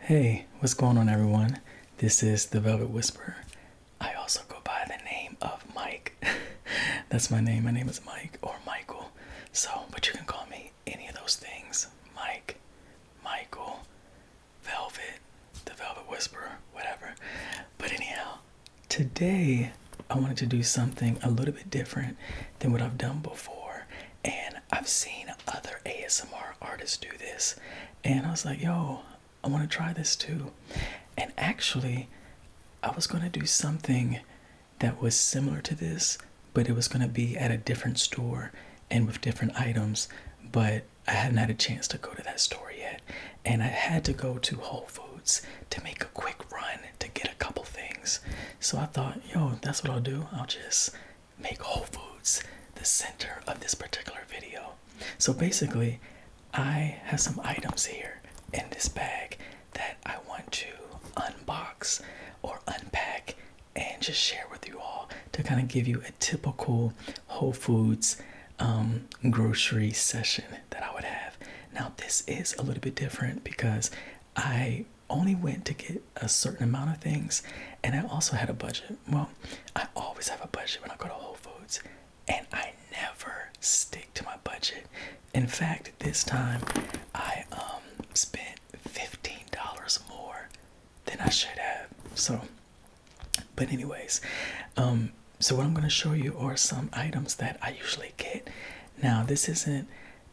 Hey, what's going on, everyone? This is the Velvet Whisperer. I also go by the name of Mike. That's my name. My name is Mike or Michael. So, but you can call me any of those things Mike, Michael, Velvet, the Velvet Whisperer, whatever. But, anyhow, today I wanted to do something a little bit different than what I've done before. And I've seen other ASMR artists do this. And I was like, yo, I want to try this too. And actually, I was going to do something that was similar to this, but it was going to be at a different store and with different items. But I hadn't had a chance to go to that store yet and I had to go to Whole Foods to make a quick run to get a couple things. So I thought, yo, that's what I'll do. I'll just make Whole Foods the center of this particular video. So basically, I have some items here in this bag that I want to unbox or unpack and just share with you all to kind of give you a typical Whole Foods um, grocery session that I would have. Now, this is a little bit different because I only went to get a certain amount of things and I also had a budget. Well, I always have a budget when I go to Whole Foods and I never stick to my budget. In fact, this time I um, spent $15 more than I should have. So but anyways, um, so what I'm going to show you are some items that I usually get. Now this isn't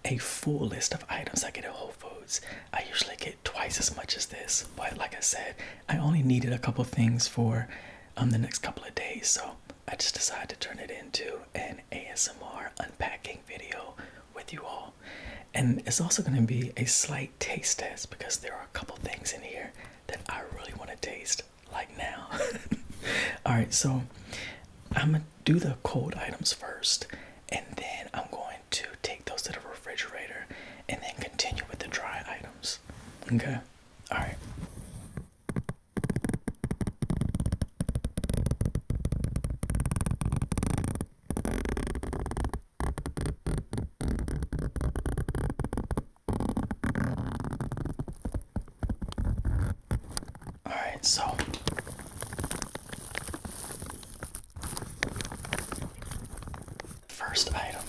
a full list of items I get at Whole Foods. I usually get twice as much as this, but like I said, I only needed a couple things for um, the next couple of days, so I just decided to turn it into an ASMR unpacking video with you all. And it's also going to be a slight taste test because there are a couple things in here that I really want to taste like now. All right, so I'm gonna do the cold items first, and then I'm going to take those to the refrigerator and then continue with the dry items. Okay, all right. All right, so first item.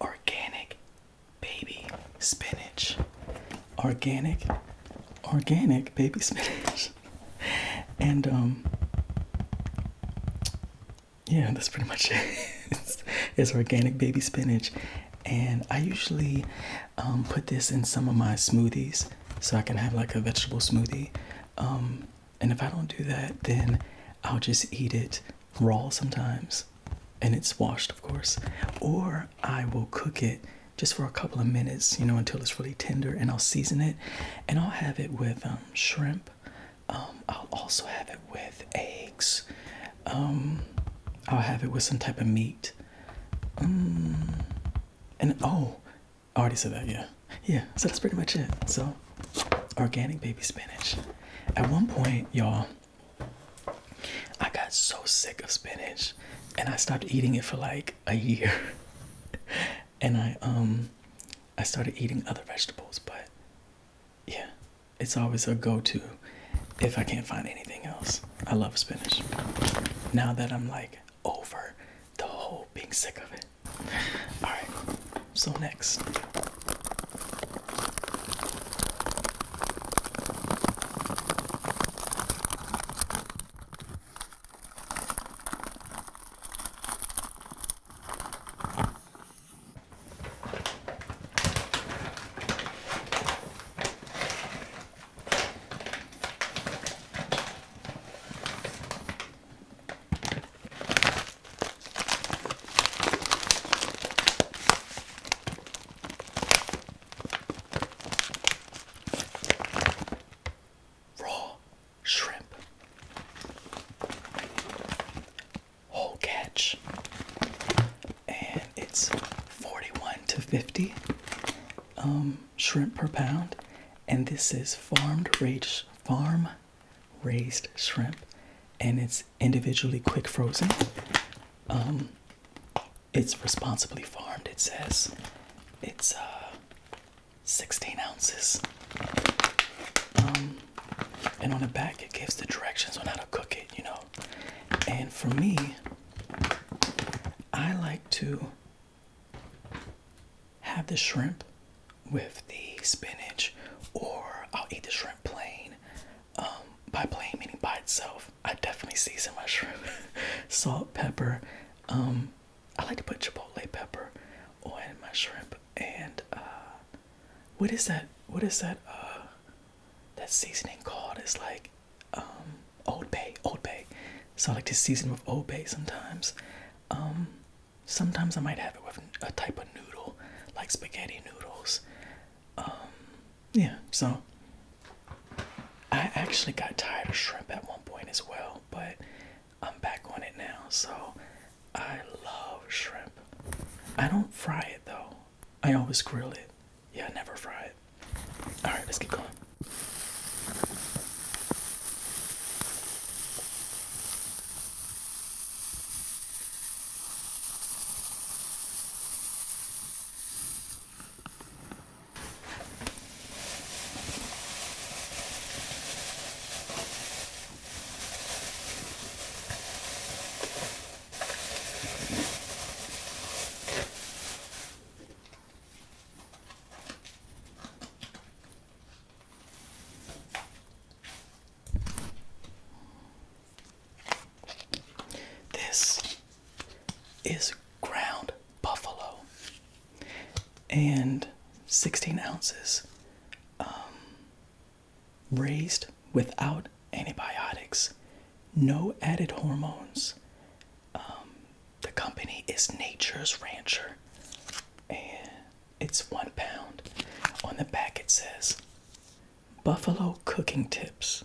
Organic baby spinach. Organic, organic baby spinach. and um yeah, that's pretty much it. it's, organic baby spinach, and I usually um, put this in some of my smoothies so I can have like a vegetable smoothie. Um, and if I don't do that, then I'll just eat it raw sometimes, and it's washed, of course, or I will cook it just for a couple of minutes, you know, until it's really tender, and I'll season it, and I'll have it with um, shrimp um, I'll also have it with eggs. Um, I'll have it with some type of meat. Um, and oh, I already said that, yeah. Yeah, so that's pretty much it. So, organic baby spinach. At one point, y'all, I got so sick of spinach and I stopped eating it for like a year. and I, um, I started eating other vegetables, but yeah, it's always a go-to if I can't find anything else. I love spinach. Now that I'm like over the whole being sick of it. All right. So next. Raw shrimp whole catch, and it's 41 to 50 um, shrimp per pound. And this is farmed raised farm raised shrimp, and it's individually quick frozen. Um, it's responsibly farmed. It says it's uh, 16 ounces. Um, and on the back it gives the directions on how to cook it, you know. And for me, I like to have the shrimp with the spinach, or I'll eat the shrimp plain. Um, by plain meaning by itself. I definitely season my shrimp. Salt, pepper. Um, I like to put chipotle pepper on my shrimp and uh, what is that? What is that? Uh, that seasoning called? It's like um, Old Bay, Old Bay. So I like to season with Old Bay sometimes. Um, sometimes I might have it with a type of noodle, like spaghetti noodles. Um, yeah. So I actually got tired of shrimp at one point as well, but I'm back on it now. So I love shrimp. I don't fry it though. I always grill it. Yeah, I never fry it. All right, let's keep going. This is ground buffalo and 16 ounces. Um, raised without antibiotics, no added hormones. Um, the company is Nature's Rancher, and it's one pound. On the back, it says Buffalo Cooking Tips.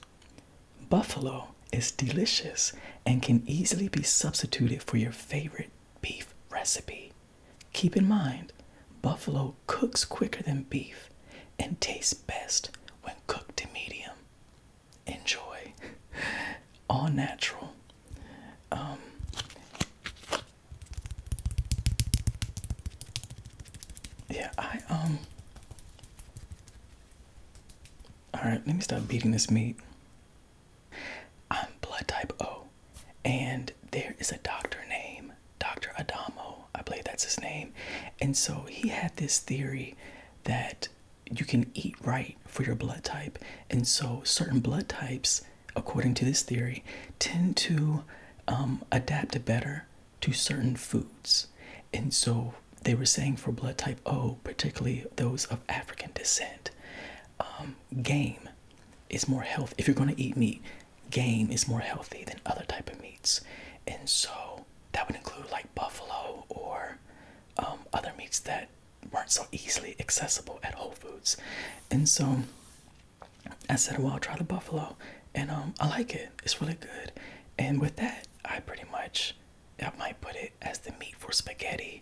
Buffalo is delicious and can easily be substituted for your favorite beef recipe. Keep in mind, buffalo cooks quicker than beef and tastes best when cooked to medium. Enjoy. All natural. Um, yeah, I, um. Alright, let me stop beating this meat. I'm blood type O and there is a doctor named Dr. Adamo, I believe that's his name. And so he had this theory that you can eat right for your blood type. And so certain blood types, according to this theory, tend to um, adapt better to certain foods. And so they were saying for blood type O, particularly those of African descent, um, game is more health If you're going to eat meat, game is more healthy than other type of meats and so that would include like buffalo or um, other meats that weren't so easily accessible at whole foods and so i said well i'll try the buffalo and um, i like it it's really good and with that i pretty much i might put it as the meat for spaghetti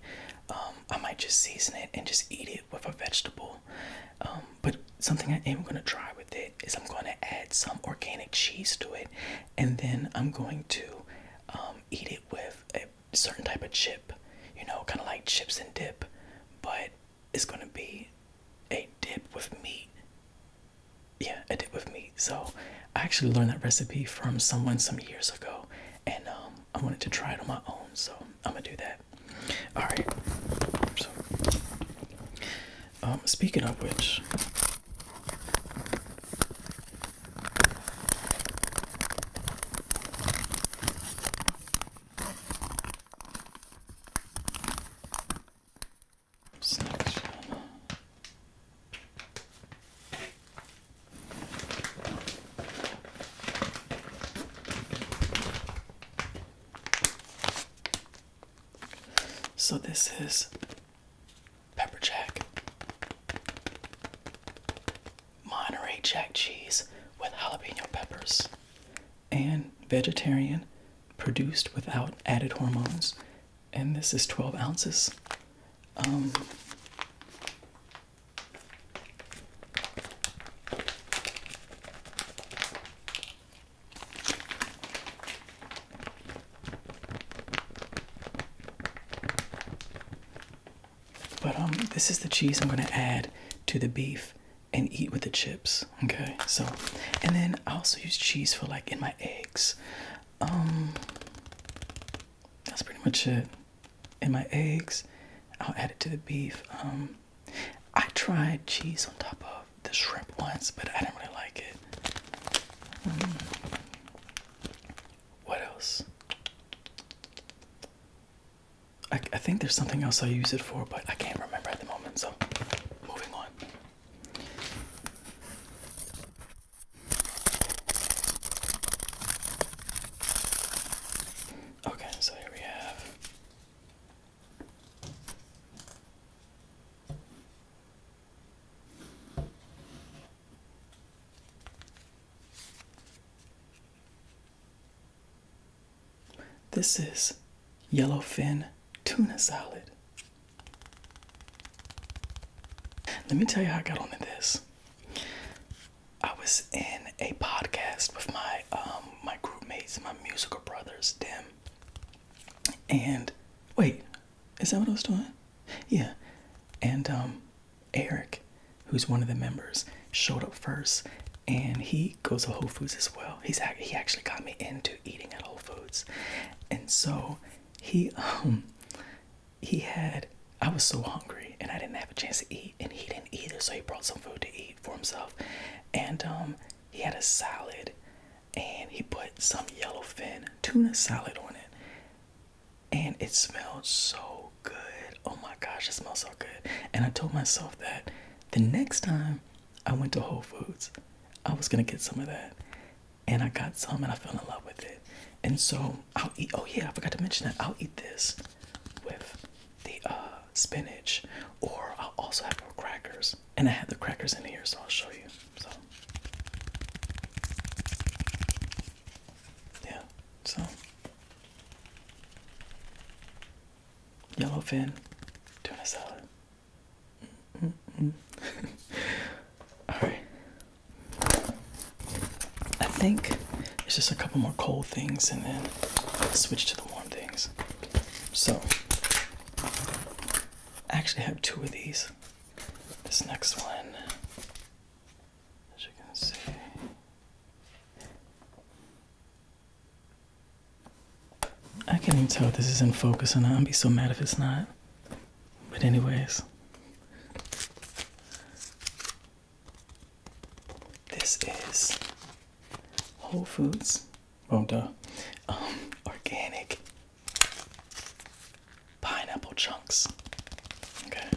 um, i might just season it and just eat it with a vegetable um, but something I am gonna try with it is I'm gonna add some organic cheese to it, and then I'm going to um, eat it with a certain type of chip, you know, kind of like chips and dip, but it's gonna be a dip with meat. Yeah, a dip with meat. So I actually learned that recipe from someone some years ago, and um, I wanted to try it on my own, so I'm gonna do that. All right. So, um, speaking of which, so this is pepper jack, Monterey Jack cheese with jalapeno peppers, and vegetarian, produced without added hormones. And this is 12 ounces. Um, but um, this is the cheese I'm gonna add to the beef and eat with the chips. Okay, so and then I also use cheese for like in my eggs. Um, that's pretty much it. In my eggs, I'll add it to the beef. Um, I tried cheese on top of the shrimp once, but I didn't really like it. Hmm. What else? I, I think there's something else I use it for, but I can't remember at the moment, so moving on. Okay, so here we have this is yellowfin tuna salad. Let me tell you how I got onto this. I was in a podcast with my um my groupmates, my musical brothers, them. And wait, is that what I was doing? Yeah. And um Eric, who's one of the members, showed up first and he goes to Whole Foods as well. He's he actually got me into eating at Whole Foods. And so he um he had I was so hungry and I didn't have a chance to eat and he didn't either. So he brought some food to eat for himself, and um, he had a salad, and he put some yellowfin tuna salad on it, and it smelled so good. Oh my gosh, it smelled so good. And I told myself that the next time I went to Whole Foods, I was gonna get some of that, and I got some, and I fell in love with it. And so I'll eat. Oh yeah, I forgot to mention that I'll eat this with the uh, spinach, or I'll also have more crackers. And I have the crackers in here, so I'll show you. So, yeah, so yellowfin tuna salad. All right, I think it's just a couple more cold things and then switch to the warm things. So, I actually have two of these. This next one, as you can see, I can't even tell if this is in focus or not. I'd be so mad if it's not. But anyways, this is Whole Foods. Oh, duh. Um, organic pineapple chunks. Okay.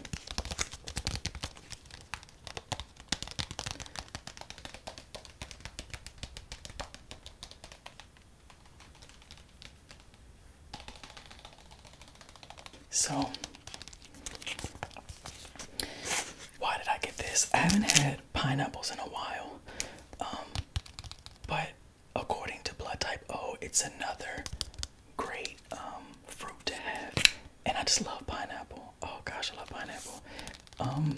So, why did I get this? I haven't had pineapples in a while. Um, but according to blood type O, it's another great um, fruit to have. And I just love pineapple. Oh gosh, I love pineapple. Um,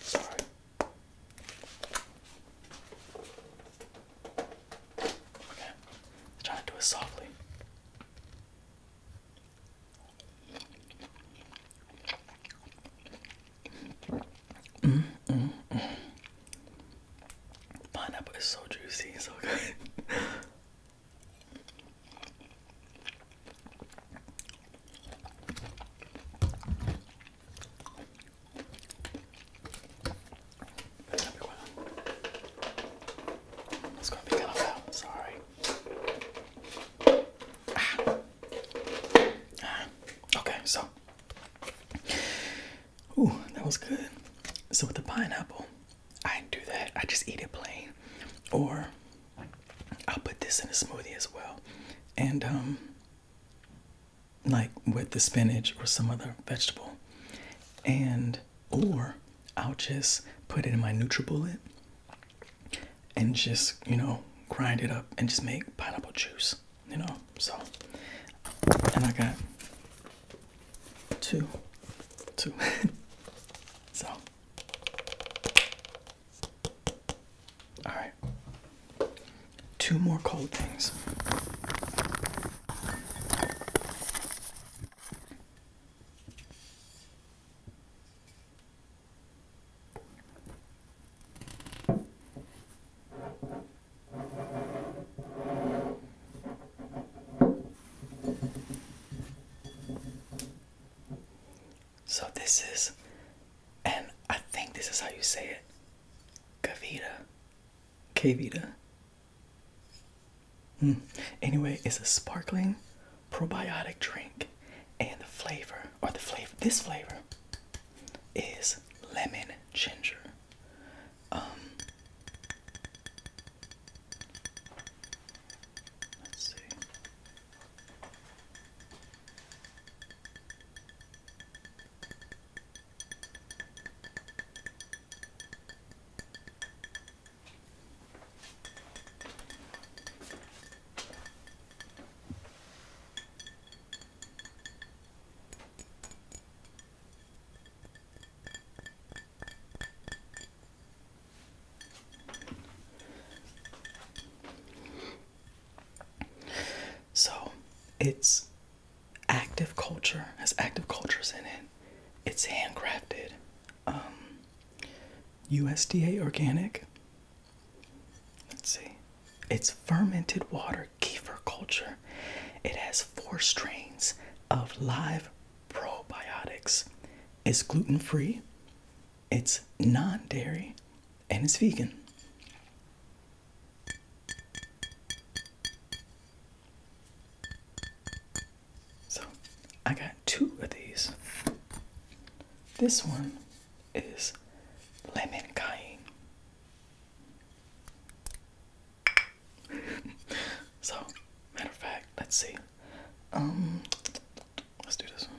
sorry. Okay, I'm trying to do it softly. Mm, mm, Pineapple is so juicy, so good. That's gonna be one. It's gonna be kind Sorry. Ah. Okay, so. Ooh, that was good. So with the pineapple, I do that. I just eat it plain, or I'll put this in a smoothie as well, and um, like with the spinach or some other vegetable, and or I'll just put it in my NutriBullet and just, you know, grind it up and just make pineapple juice, you know. So, and I got two, two. so, all right, two more cold things. So this is, and I think this is how you say it, Kavita, Kavita, Mm. Anyway, it's a sparkling probiotic drink, and the flavor, or the flavor, this flavor is lemon ginger. Um, let's see. So it's active culture has active cultures in it. It's handcrafted. USDA um, organic. Let's see. It's fermented water kefir culture. It has four strains of live probiotics. It's gluten free, it's non dairy, and it's vegan. So I got two of these. This one is lemon cayenne. so, matter of fact, let's see. Um, let's do this one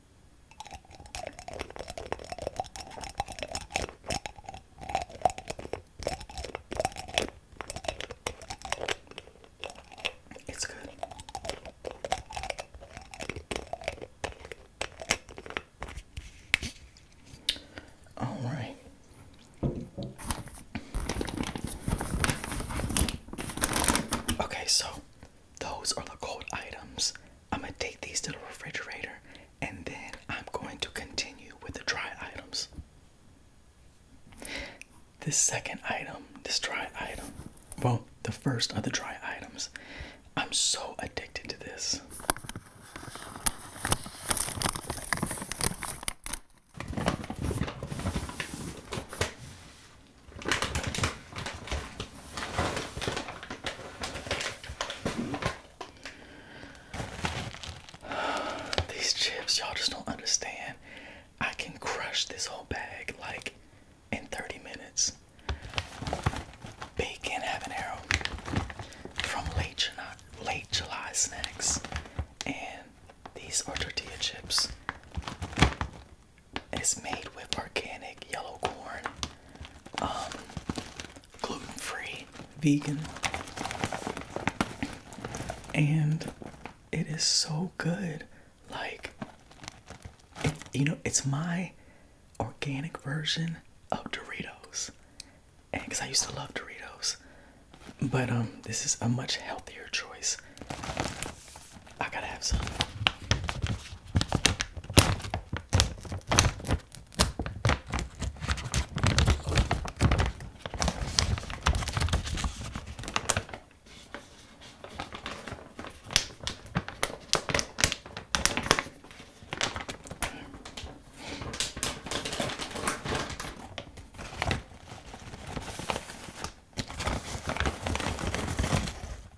It's good. All right. Okay, so those are the cold items. I'm going to take these to the refrigerator and then I'm going to continue with the dry items. This second item, this dry item, well, the first are the dry items. I'm so addicted to this. These chips, y'all just don't understand. I can crush this whole bag like in 30 minutes. Bacon habanero from late July, late July snacks, and these are tortilla chips. It's made with organic yellow corn, um, gluten-free, vegan, and it is so good. Like, you know, it's my organic version of Doritos, and because I used to love Doritos, but um, this is a much healthier choice. I gotta have some.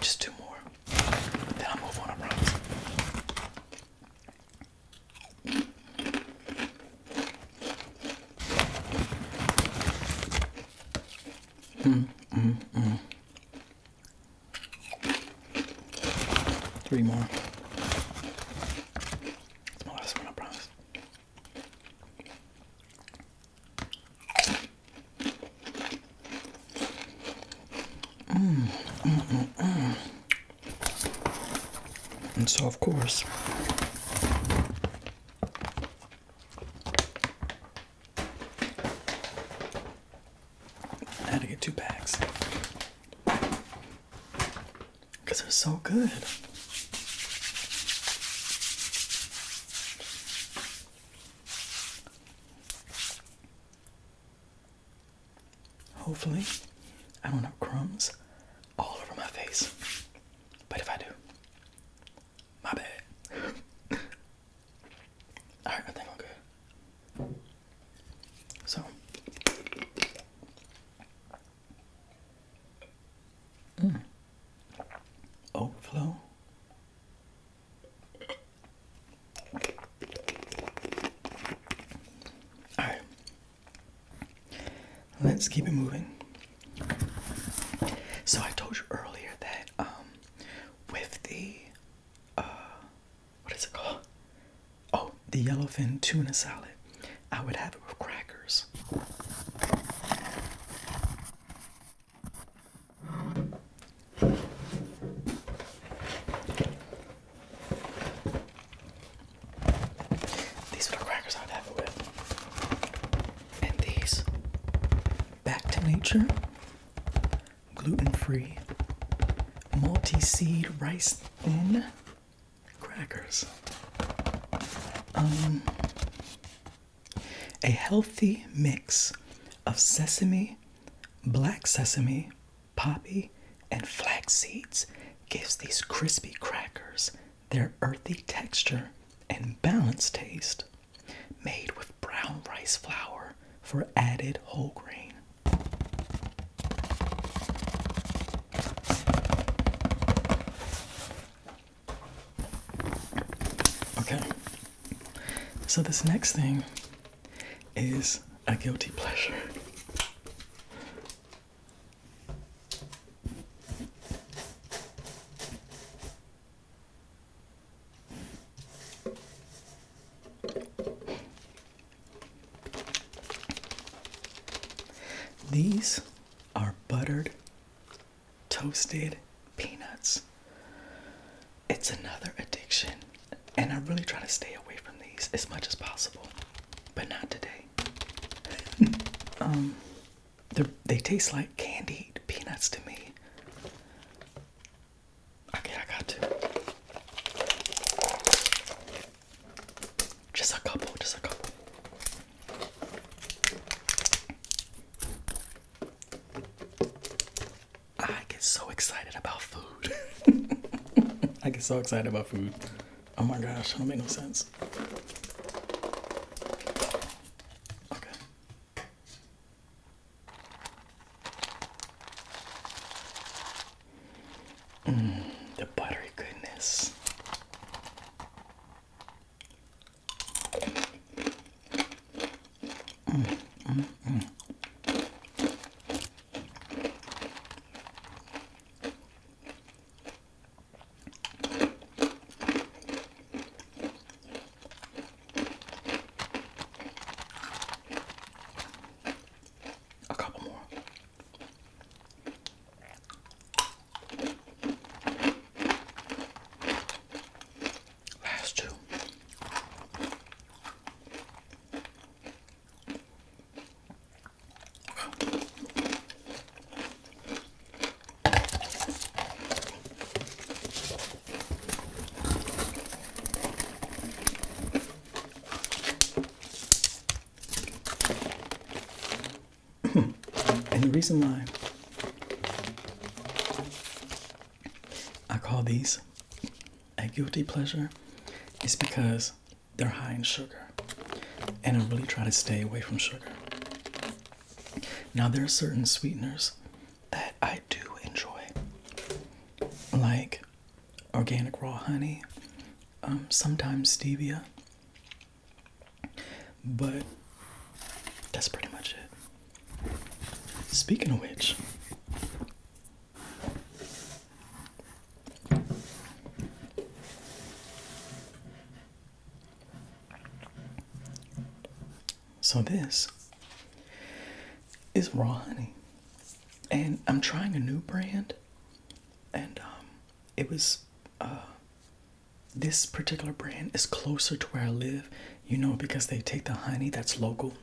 Just two more. Then i move on, I promise. Mm, mm, mm. Three more. That's my last one, I promise. Mm, mm, mm, and so, of course, I had to get two bags because they're so good. Hopefully, I don't have crumbs all over my face, but if I do, my bad. Alright, I think I'm good. So. Mm. Overflow. Alright. Let's keep it moving. So I told you earlier that um with the uh, what is it called? Oh, the yellowfin tuna salad. I would have it with crackers. These little crackers I would have it with. And these. Back to nature gluten-free, multi-seed rice thin crackers. Um, a healthy mix of sesame, black sesame, poppy, and flax seeds gives these crispy crackers their earthy texture and balanced taste made with brown rice flour for added whole grain. Okay, so this next thing is a guilty pleasure. These are buttered toasted peanuts. It's another addiction, and I really try to stay away from these as much as possible, but not today. um, they taste like candied peanuts to me. Okay, I got two. Just a couple, just a couple. I get so excited about food. I get so excited about food. Oh my gosh, that don't make no sense. Okay. Mm, the buttery goodness. Mm, mm, mm. A couple more. Last two. and the reason why I call these a guilty pleasure is because they're high in sugar, and I really try to stay away from sugar. Now, there are certain sweeteners that I do enjoy, like organic raw honey, um, sometimes stevia, but that's pretty much it. Speaking of which, so this is raw honey. And I'm trying a new brand and um, it was uh, this particular brand is closer to where I live, you know, because they take the honey that's local.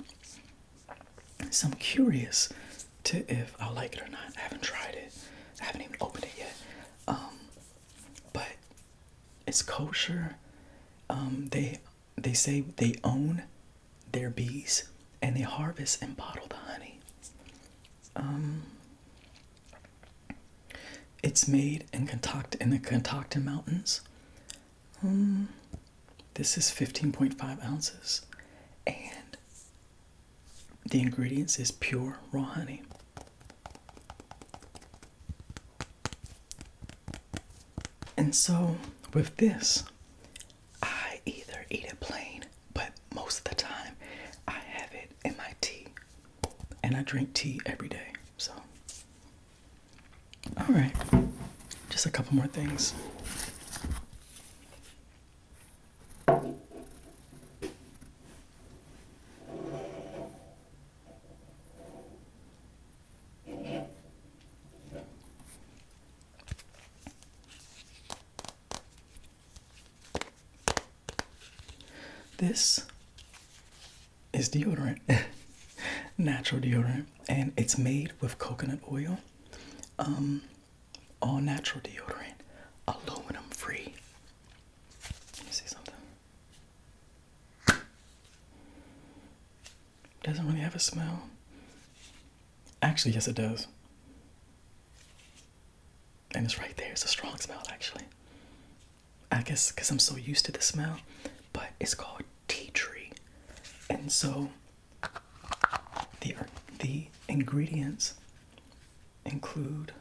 So I'm curious to if I like it or not. I haven't tried it. I haven't even opened it yet. Um, but it's kosher. Um, they they say they own their bees and they harvest and bottle the honey. Um, it's made in Kentucky in the Kentucky Mountains. Um, this is 15.5 ounces, and the ingredients is pure raw honey. And so with this, I either eat it plain, but most of the time I have it in my tea. And I drink tea every day. So, all right, just a couple more things. This is deodorant, natural deodorant, and it's made with coconut oil, um, all natural deodorant, aluminum free. see something. Doesn't really have a smell. Actually, yes, it does. And it's right there. It's a strong smell, actually. I guess because I'm so used to the smell, but it's called tea tree. And so the, er, the ingredients include.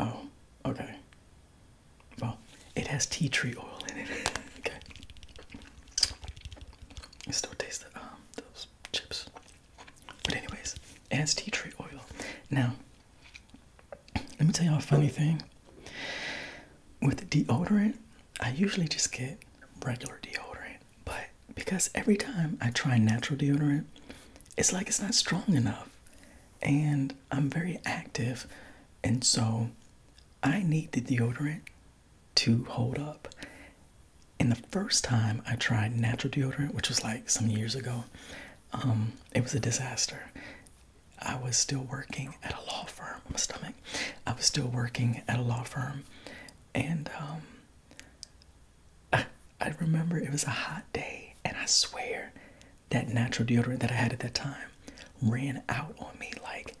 Oh, okay. Well, it has tea tree oil in it. okay. I still taste the, um, those chips. But anyways, it has tea tree oil. Now, let me tell you a funny thing. With deodorant, I usually just get regular deodorant, but because every time I try natural deodorant, it's like it's not strong enough. And I'm very active, and so I need the deodorant to hold up. And the first time I tried natural deodorant, which was like some years ago, um, it was a disaster. I was still working at a law firm. My stomach. I was still working at a law firm, and um, I remember it was a hot day, and I swear that natural deodorant that I had at that time ran out on me like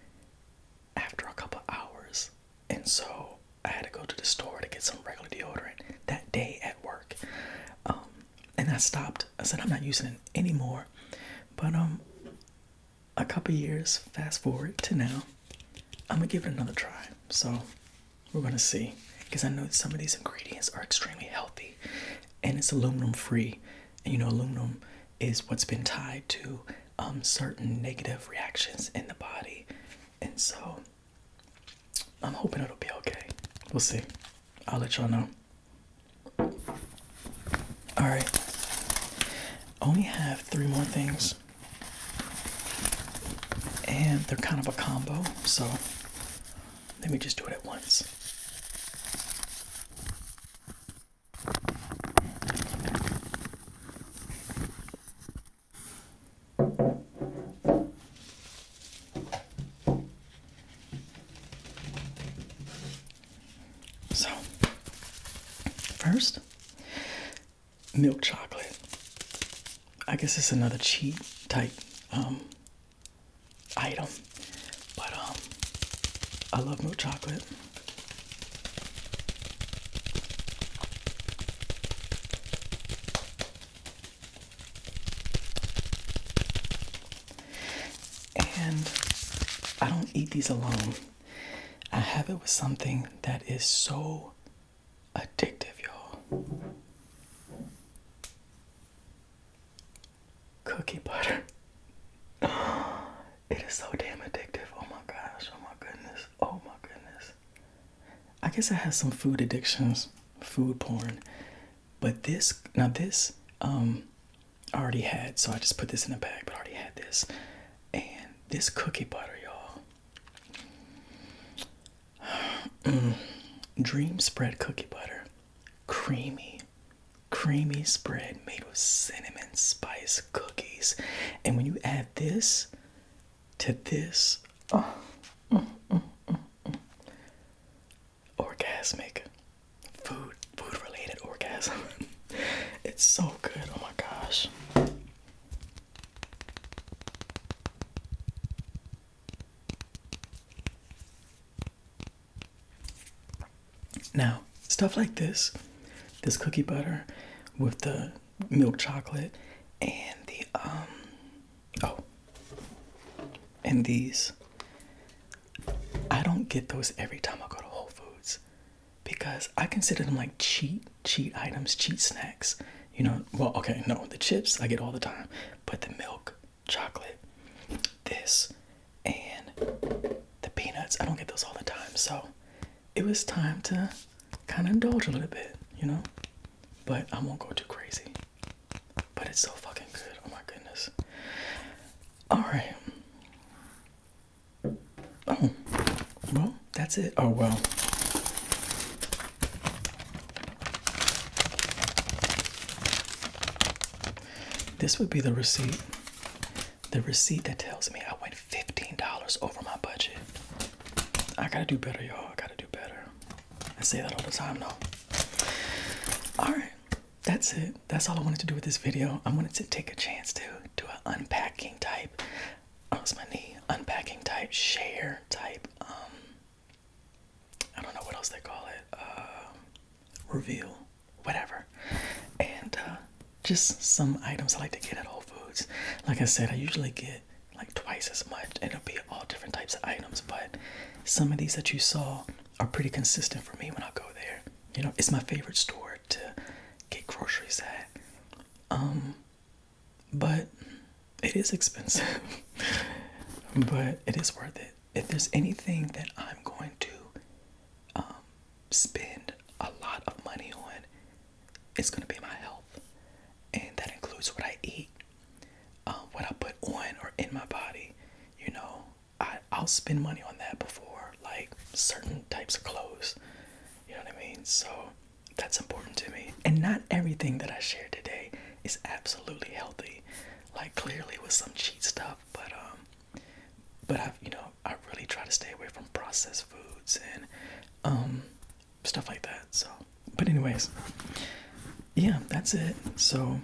after a couple hours. And so I had to go to the store to get some regular deodorant that day at work. Um, and I stopped. I said, I'm not using it anymore. But um, a couple years, fast forward to now, I'm gonna give it another try. So we're gonna see. Because I know some of these ingredients are extremely healthy and it's aluminum free you know, aluminum is what's been tied to um, certain negative reactions in the body. And so I'm hoping it'll be okay. We'll see. I'll let y'all know. All right. Only have three more things. And they're kind of a combo. So let me just do it at once. So, first, milk chocolate. I guess it's another cheat type um, item. But um I love milk chocolate. And I don't eat these alone. I have it with something that is so addictive, y'all cookie butter. It is so damn addictive. Oh my gosh. Oh my goodness. Oh my goodness. I guess I have some food addictions, food porn. But this, now this, um, I already had, so I just put this in the bag, but already had this. And this cookie butter, y'all. Mm. Dream spread cookie butter. Creamy creamy spread made with cinnamon spice cookies. And when you add this to this, oh, orgasmic food, food related orgasm. it's so good. Oh my gosh. Now, stuff like this, this cookie butter with the milk chocolate and the um oh and these I don't get those every time I go to Whole Foods because I consider them like cheat cheat items, cheat snacks. You know, well okay, no, the chips I get all the time, but the milk chocolate, this, and the peanuts. I don't get those all the time, so it was time to kind of indulge a little bit, you know? But I won't go too crazy. But it's so fucking good. Oh my goodness. Alright. Oh, well, that's it. Oh, well. This would be the receipt. The receipt that tells me I went $15 over my budget. I gotta do better, y'all. I gotta do better. I say that all the time, though. Alright, that's it. That's all I wanted to do with this video. I wanted to take a chance to do an unpacking type. Oh, it's my knee. Unpacking type, share type, um, I don't know what else they call it, um, reveal, whatever. And uh, just some items I like to get at Whole Foods. Like I said, I usually get like twice as much, and it'll be all different types of items. But some of these that you saw are pretty consistent for me when I go there. You know, it's my favorite store to get groceries at. Um, but it is expensive, but it is worth it if there's anything that I'm going to um, spend a lot of money on, it's going to be my health. And that includes what I eat, um, what I put on or in my body. You know, I, I'll spend money on that before, like certain types of clothes. You know what I mean? So that's important to me. And not everything that I share today is absolutely healthy. Like clearly with some cheat stuff, but um, but I've you know I really try to stay away from processed foods and um stuff like that. So, but anyways, yeah, that's it. So.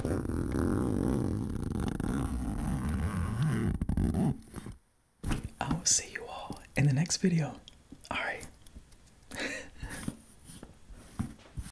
I will see you all in the next video. All right.